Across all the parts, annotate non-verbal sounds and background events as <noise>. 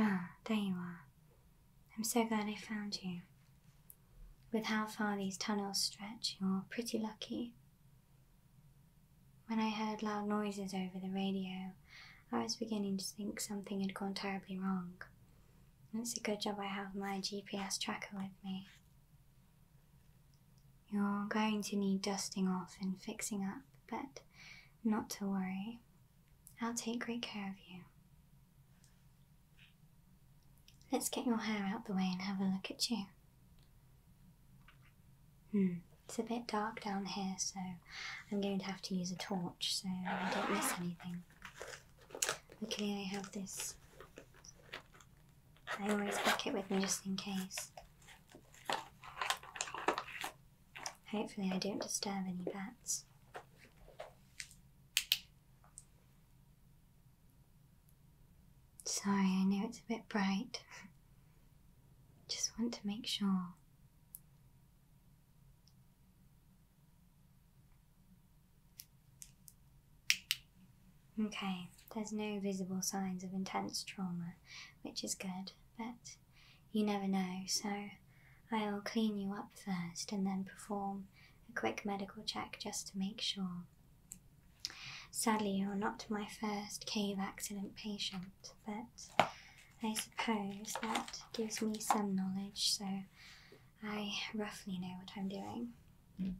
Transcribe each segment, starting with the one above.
Ah, there you are. I'm so glad I found you. With how far these tunnels stretch, you're pretty lucky. When I heard loud noises over the radio, I was beginning to think something had gone terribly wrong. And it's a good job I have my GPS tracker with me. You're going to need dusting off and fixing up, but not to worry. I'll take great care of you. Let's get your hair out the way and have a look at you. Hmm, it's a bit dark down here, so I'm going to have to use a torch so I don't miss anything. Okay, I have this. I always pack it with me just in case. Hopefully I don't disturb any bats. Sorry, I know it's a bit bright. <laughs> just want to make sure. Okay, there's no visible signs of intense trauma, which is good, but you never know, so I'll clean you up first and then perform a quick medical check just to make sure. Sadly, you're not my first cave accident patient, but I suppose that gives me some knowledge, so I roughly know what I'm doing. Hmm.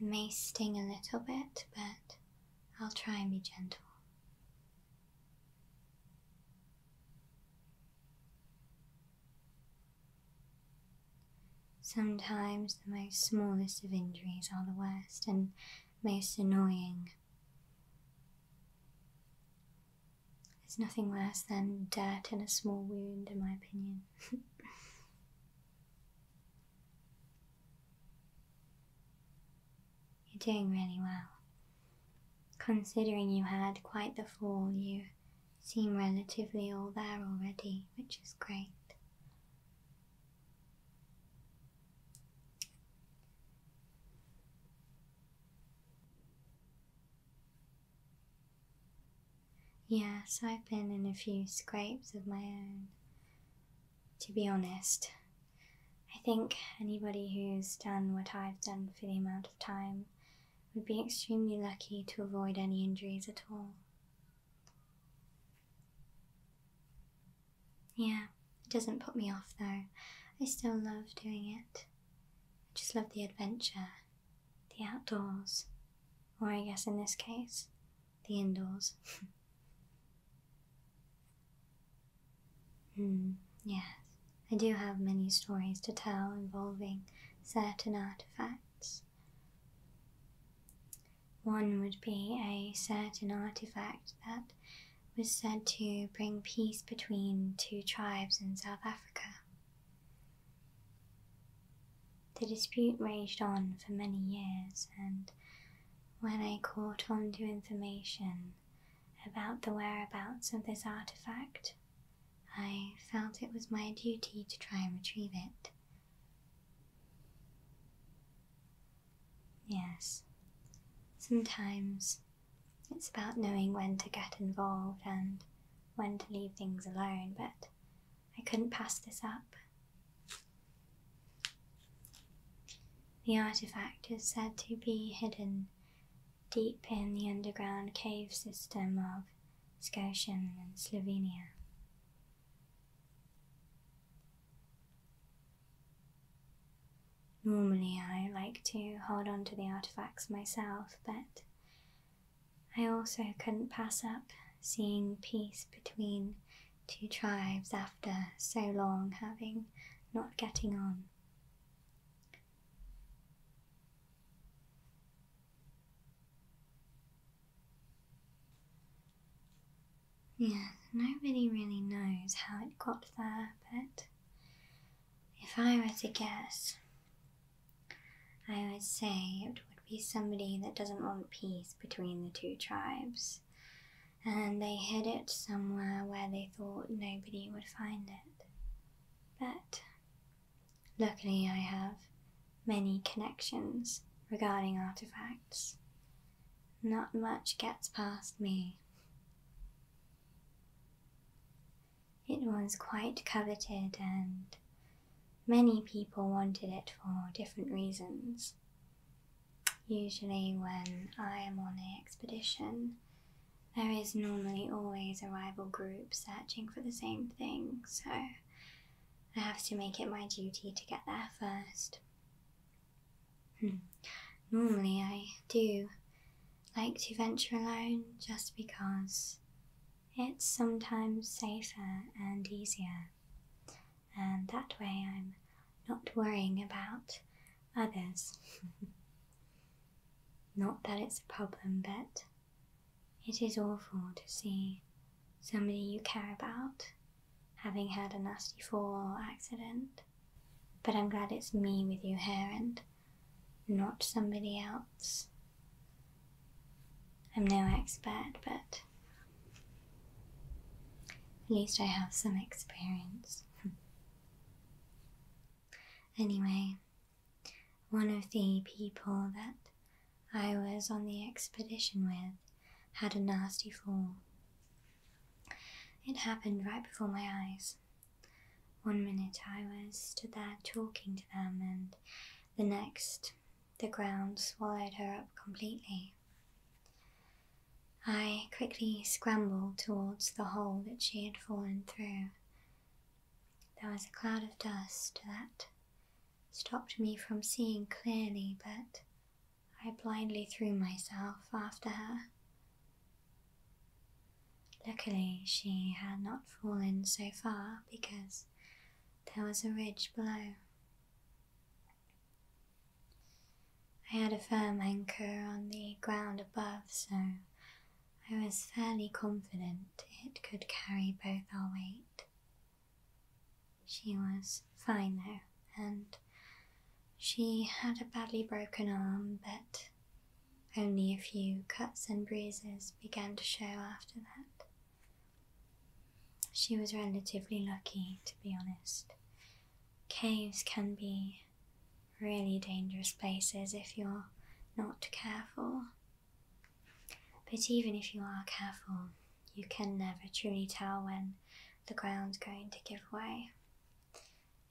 It may sting a little bit, but I'll try and be gentle. Sometimes the most smallest of injuries are the worst and most annoying. It's nothing worse than dirt in a small wound, in my opinion. <laughs> You're doing really well. Considering you had quite the fall, you seem relatively all there already, which is great. Yes, I've been in a few scrapes of my own. To be honest, I think anybody who's done what I've done for the amount of time would be extremely lucky to avoid any injuries at all. Yeah, it doesn't put me off though. I still love doing it. I just love the adventure, the outdoors, or I guess in this case, the indoors. <laughs> mm, yes, I do have many stories to tell involving certain artifacts. One would be a certain artifact that was said to bring peace between two tribes in South Africa. The dispute raged on for many years, and when I caught on to information about the whereabouts of this artifact, I felt it was my duty to try and retrieve it. Yes, sometimes it's about knowing when to get involved and when to leave things alone, but I couldn't pass this up. The artifact is said to be hidden deep in the underground cave system of Scotian and Slovenia. Normally, I like to hold on to the artifacts myself, but I also couldn't pass up seeing peace between two tribes after so long having not getting on. Yeah, nobody really knows how it got there, but if I were to guess, I would say it would be somebody that doesn't want peace between the two tribes, and they hid it somewhere where they thought nobody would find it. But luckily, I have many connections regarding artifacts. Not much gets past me. It was quite coveted, and many people wanted it for different reasons. Usually, when I am on an expedition, there is normally always a rival group searching for the same thing, so I have to make it my duty to get there first. Hmm. Normally, I do like to venture alone just because it's sometimes safer and easier, and that way I'm not worrying about others. <laughs> not that it's a problem, but it is awful to see somebody you care about having had a nasty fall or accident but I'm glad it's me with your hair and not somebody else. I'm no expert, but at least I have some experience. <laughs> anyway, one of the people that I was on the expedition with had a nasty fall. It happened right before my eyes. One minute I was stood there talking to them, and the next the ground swallowed her up completely. I quickly scrambled towards the hole that she had fallen through. There was a cloud of dust that stopped me from seeing clearly, but I blindly threw myself after her. Luckily, she had not fallen so far because there was a ridge below. I had a firm anchor on the ground above, so I was fairly confident it could carry both our weight. She was fine though, and she had a badly broken arm, but only a few cuts and bruises began to show after that. She was relatively lucky, to be honest. Caves can be really dangerous places if you're not careful. But even if you are careful, you can never truly tell when the ground's going to give way.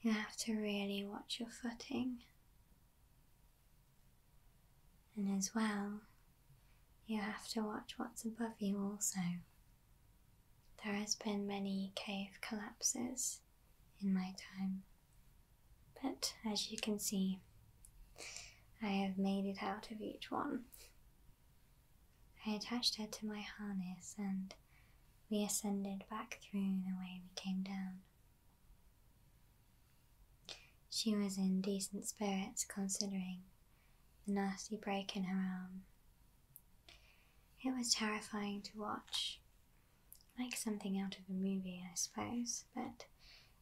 You have to really watch your footing. And as well, you have to watch what's above you also. There has been many cave collapses in my time, but as you can see, I have made it out of each one. I attached her to my harness and we ascended back through the way we came down. She was in decent spirits considering the nasty break in her arm. It was terrifying to watch, like something out of a movie, I suppose, but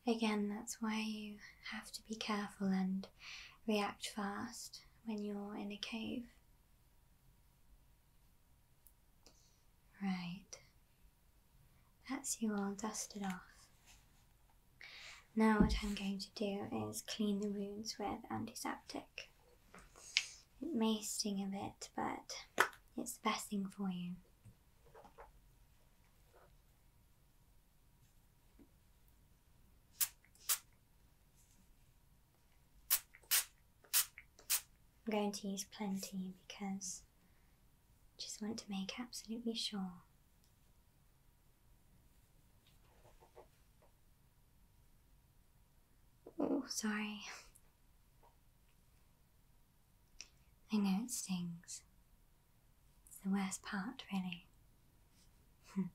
again, that's why you have to be careful and react fast when you're in a cave. Right. That's you all dusted off. Now what I'm going to do is clean the wounds with antiseptic. It may sting a bit, but it's the best thing for you. I'm going to use plenty because I just want to make absolutely sure. Oh, sorry. <laughs> I know it stings. It's the worst part, really. <laughs>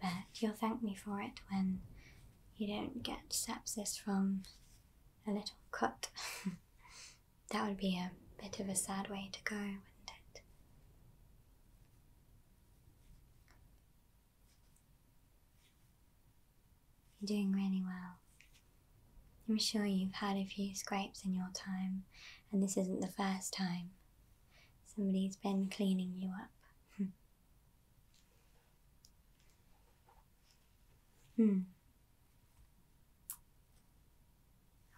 But you'll thank me for it when you don't get sepsis from a little cut. <laughs> that would be a bit of a sad way to go, wouldn't it? You're doing really well. I'm sure you've had a few scrapes in your time, and this isn't the first time. Somebody's been cleaning you up. <laughs> Hmm.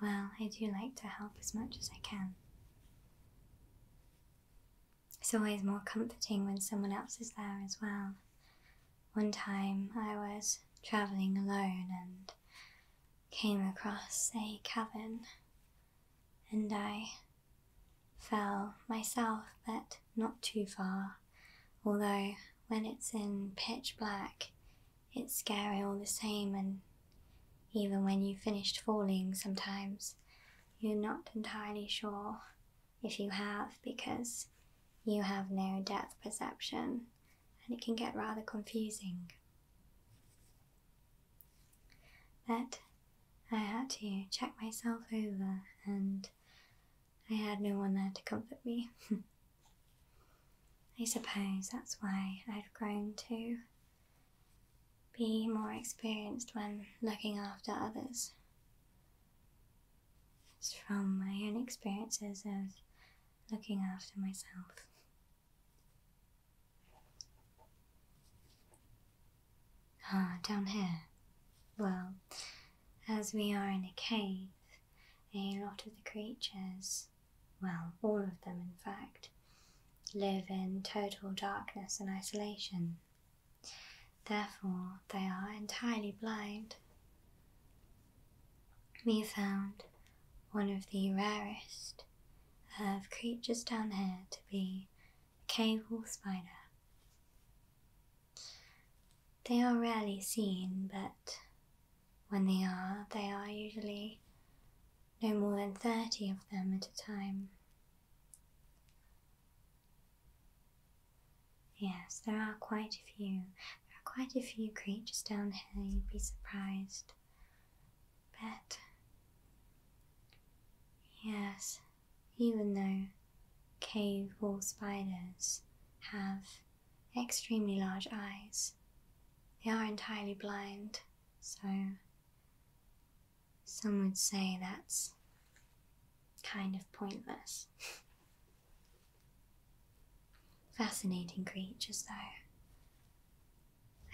Well, I do like to help as much as I can. It's always more comforting when someone else is there as well. One time I was travelling alone and came across a cabin and I fell myself, but not too far. Although when it's in pitch black, it's scary all the same, and even when you have finished falling, sometimes you're not entirely sure if you have because you have no depth perception and it can get rather confusing that I had to check myself over, and I had no one there to comfort me. <laughs> I suppose that's why I've grown to be more experienced when looking after others. It's from my own experiences of looking after myself. Ah, down here. Well, as we are in a cave, a lot of the creatures, well, all of them in fact, live in total darkness and isolation. Therefore, they are entirely blind. We found one of the rarest of creatures down here to be cable spider. They are rarely seen, but when they are, they are usually no more than 30 of them at a time. Yes, there are quite a few. There are quite a few creatures down here, you'd be surprised. But, yes, even though cave wall spiders have extremely large eyes. They are entirely blind, so some would say that's kind of pointless. <laughs> Fascinating creatures, though.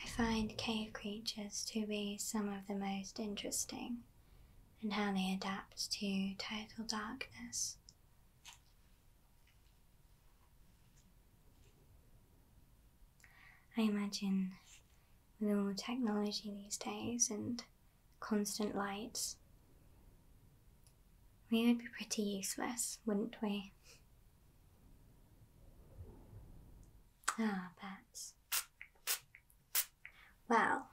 I find cave creatures to be some of the most interesting and how they adapt to total darkness. I imagine with all the technology these days and constant lights, we would be pretty useless, wouldn't we? Ah, but well,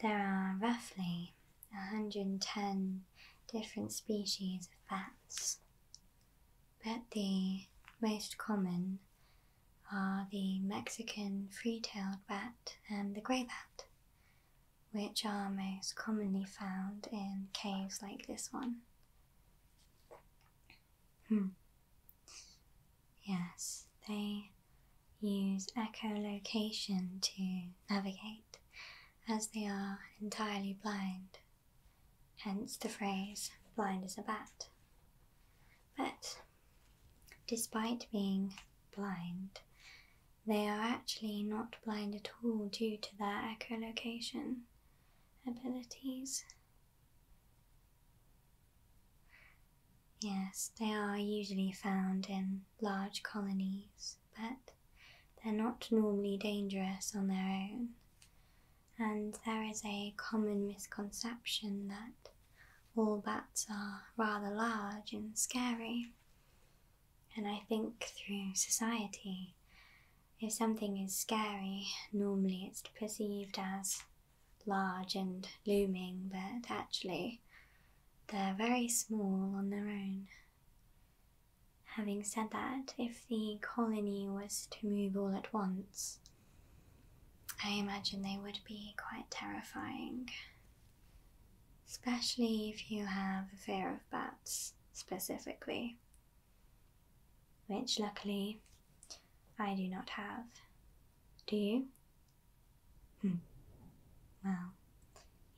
there are roughly 110 different species of bats, but the most common are the Mexican free tailed bat and the grey bat, which are most commonly found in caves like this one. Hmm. Yes, they use echolocation to navigate, as they are entirely blind, hence the phrase blind as a bat. But despite being blind, they are actually not blind at all due to their echolocation abilities. Yes, they are usually found in large colonies, but they're not normally dangerous on their own. And there is a common misconception that all bats are rather large and scary. And I think through society, if something is scary, normally it's perceived as large and looming, but actually they're very small on their own. Having said that, if the colony was to move all at once, I imagine they would be quite terrifying. Especially if you have a fear of bats, specifically which luckily I do not have. Do you? Hmm. Well,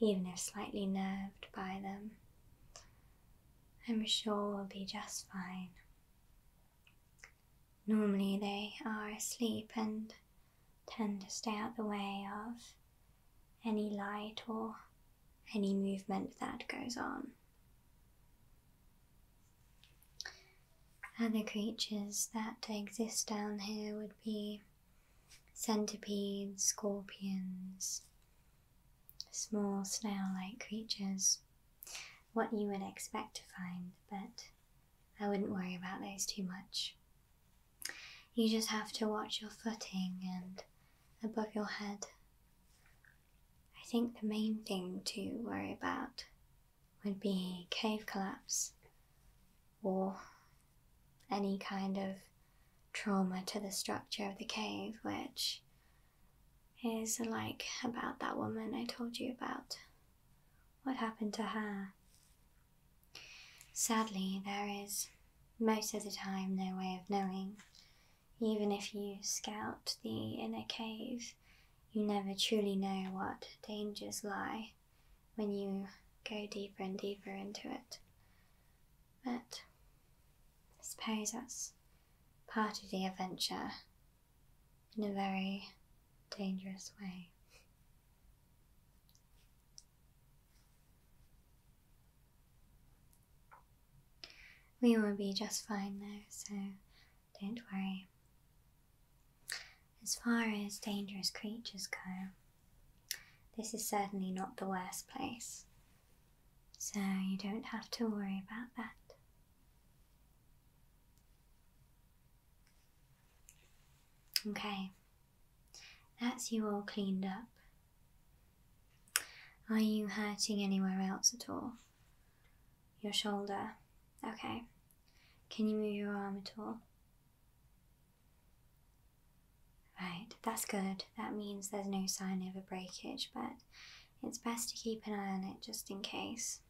even if slightly nerved by them, I'm sure we'll be just fine. Normally they are asleep and tend to stay out the way of any light or any movement that goes on. Other creatures that exist down here would be centipedes, scorpions, small snail like creatures, what you would expect to find, but I wouldn't worry about those too much. You just have to watch your footing and above your head I think the main thing to worry about would be cave collapse or any kind of trauma to the structure of the cave, which is like about that woman I told you about. What happened to her? Sadly, there is most of the time no way of knowing even if you scout the inner cave, you never truly know what dangers lie when you go deeper and deeper into it. But I suppose that's part of the adventure in a very dangerous way. We will be just fine though, so don't worry. As far as dangerous creatures go, this is certainly not the worst place, so you don't have to worry about that. Okay, that's you all cleaned up. Are you hurting anywhere else at all? Your shoulder. Okay. Can you move your arm at all? Right, that's good. That means there's no sign of a breakage, but it's best to keep an eye on it just in case.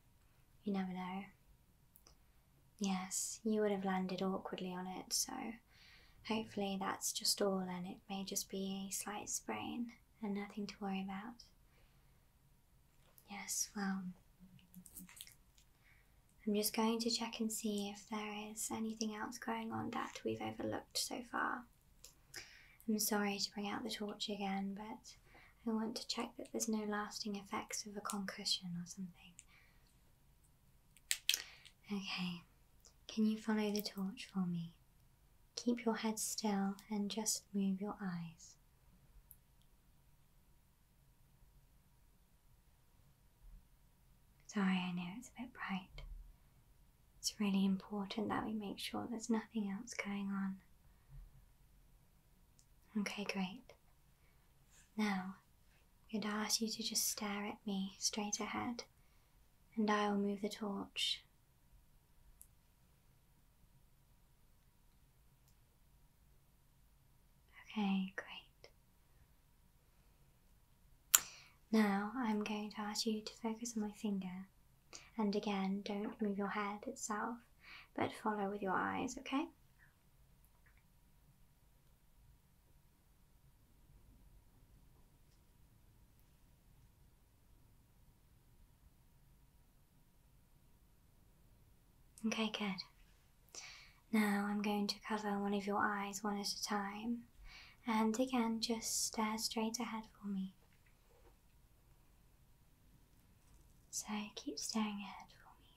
You never know. Yes, you would have landed awkwardly on it, so hopefully that's just all and it may just be a slight sprain and nothing to worry about. Yes, well, I'm just going to check and see if there is anything else going on that we've overlooked so far. I'm sorry to bring out the torch again, but I want to check that there's no lasting effects of a concussion or something. Okay, can you follow the torch for me? Keep your head still and just move your eyes. Sorry, I know it's a bit bright. It's really important that we make sure there's nothing else going on. Okay, great. Now, I'm going to ask you to just stare at me straight ahead, and I will move the torch Okay, great. Now I'm going to ask you to focus on my finger. And again, don't move your head itself, but follow with your eyes, okay? Okay, good. Now I'm going to cover one of your eyes one at a time. And again, just stare straight ahead for me. So keep staring ahead for me.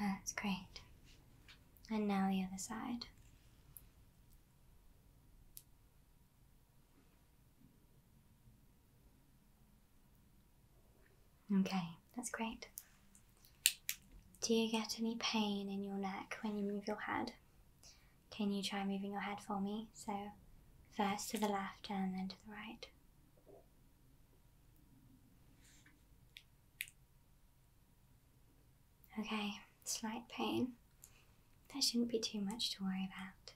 Ah, that's great. And now the other side. Okay, that's great. Do you get any pain in your neck when you move your head? Can you try moving your head for me? So, first to the left and then to the right. Okay, slight pain. That shouldn't be too much to worry about.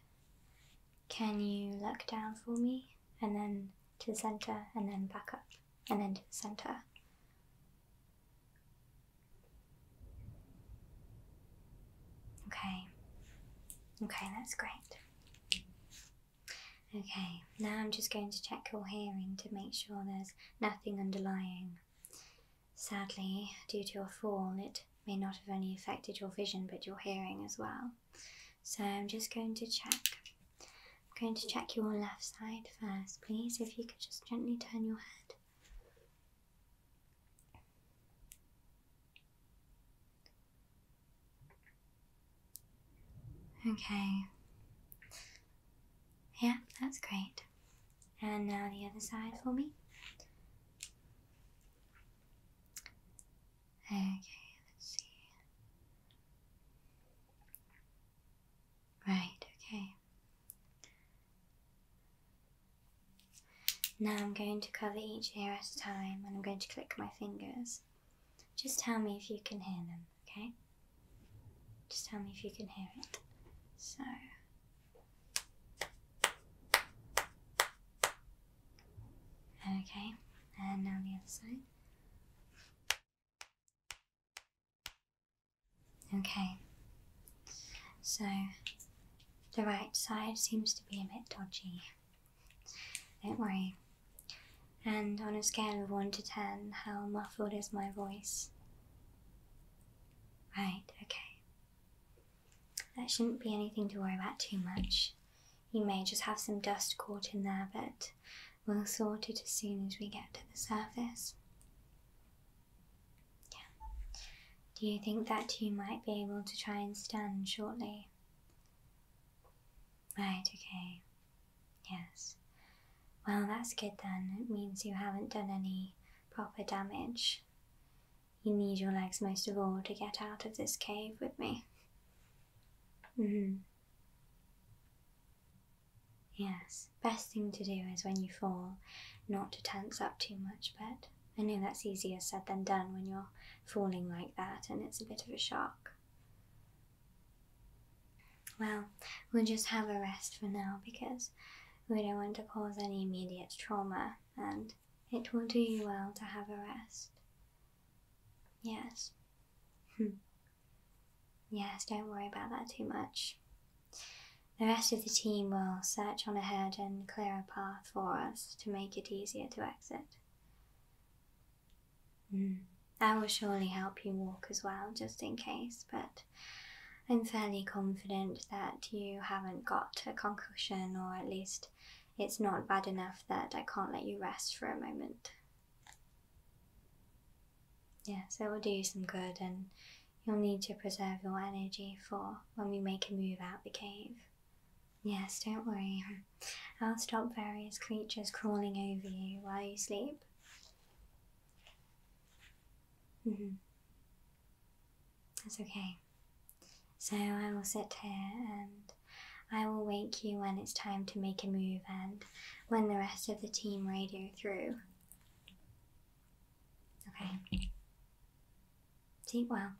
Can you look down for me and then to the center and then back up and then to the center? Okay. Okay, that's great. Okay, now I'm just going to check your hearing to make sure there's nothing underlying. Sadly, due to your fall, it may not have only affected your vision but your hearing as well. So I'm just going to check. I'm going to check your left side first, please, if you could just gently turn your head. Okay. Yeah, that's great. And now the other side for me. Okay, let's see. Right, okay. Now I'm going to cover each ear at a time and I'm going to click my fingers. Just tell me if you can hear them, okay? Just tell me if you can hear it. So. Okay, and now the other side. Okay, so the right side seems to be a bit dodgy. Don't worry. And on a scale of 1 to 10, how muffled is my voice? Right, okay. That shouldn't be anything to worry about too much. You may just have some dust caught in there, but we'll sort it as soon as we get to the surface. Yeah. Do you think that you might be able to try and stand shortly? Right, okay. Yes. Well, that's good then. It means you haven't done any proper damage. You need your legs most of all to get out of this cave with me. Mm-hmm. Yes, best thing to do is when you fall, not to tense up too much, but I know that's easier said than done when you're falling like that and it's a bit of a shock. Well, we'll just have a rest for now because we don't want to cause any immediate trauma and it will do you well to have a rest. Yes. Hmm. yes, don't worry about that too much. The rest of the team will search on ahead and clear a path for us to make it easier to exit. Mm. I will surely help you walk as well, just in case, but I'm fairly confident that you haven't got a concussion, or at least it's not bad enough that I can't let you rest for a moment. Yes, it will do you some good, and you'll need to preserve your energy for when we make a move out the cave. Yes, don't worry. I'll stop various creatures crawling over you while you sleep. Mm -hmm. That's okay. So I will sit here and I will wake you when it's time to make a move and when the rest of the team radio through. Okay. Sleep well.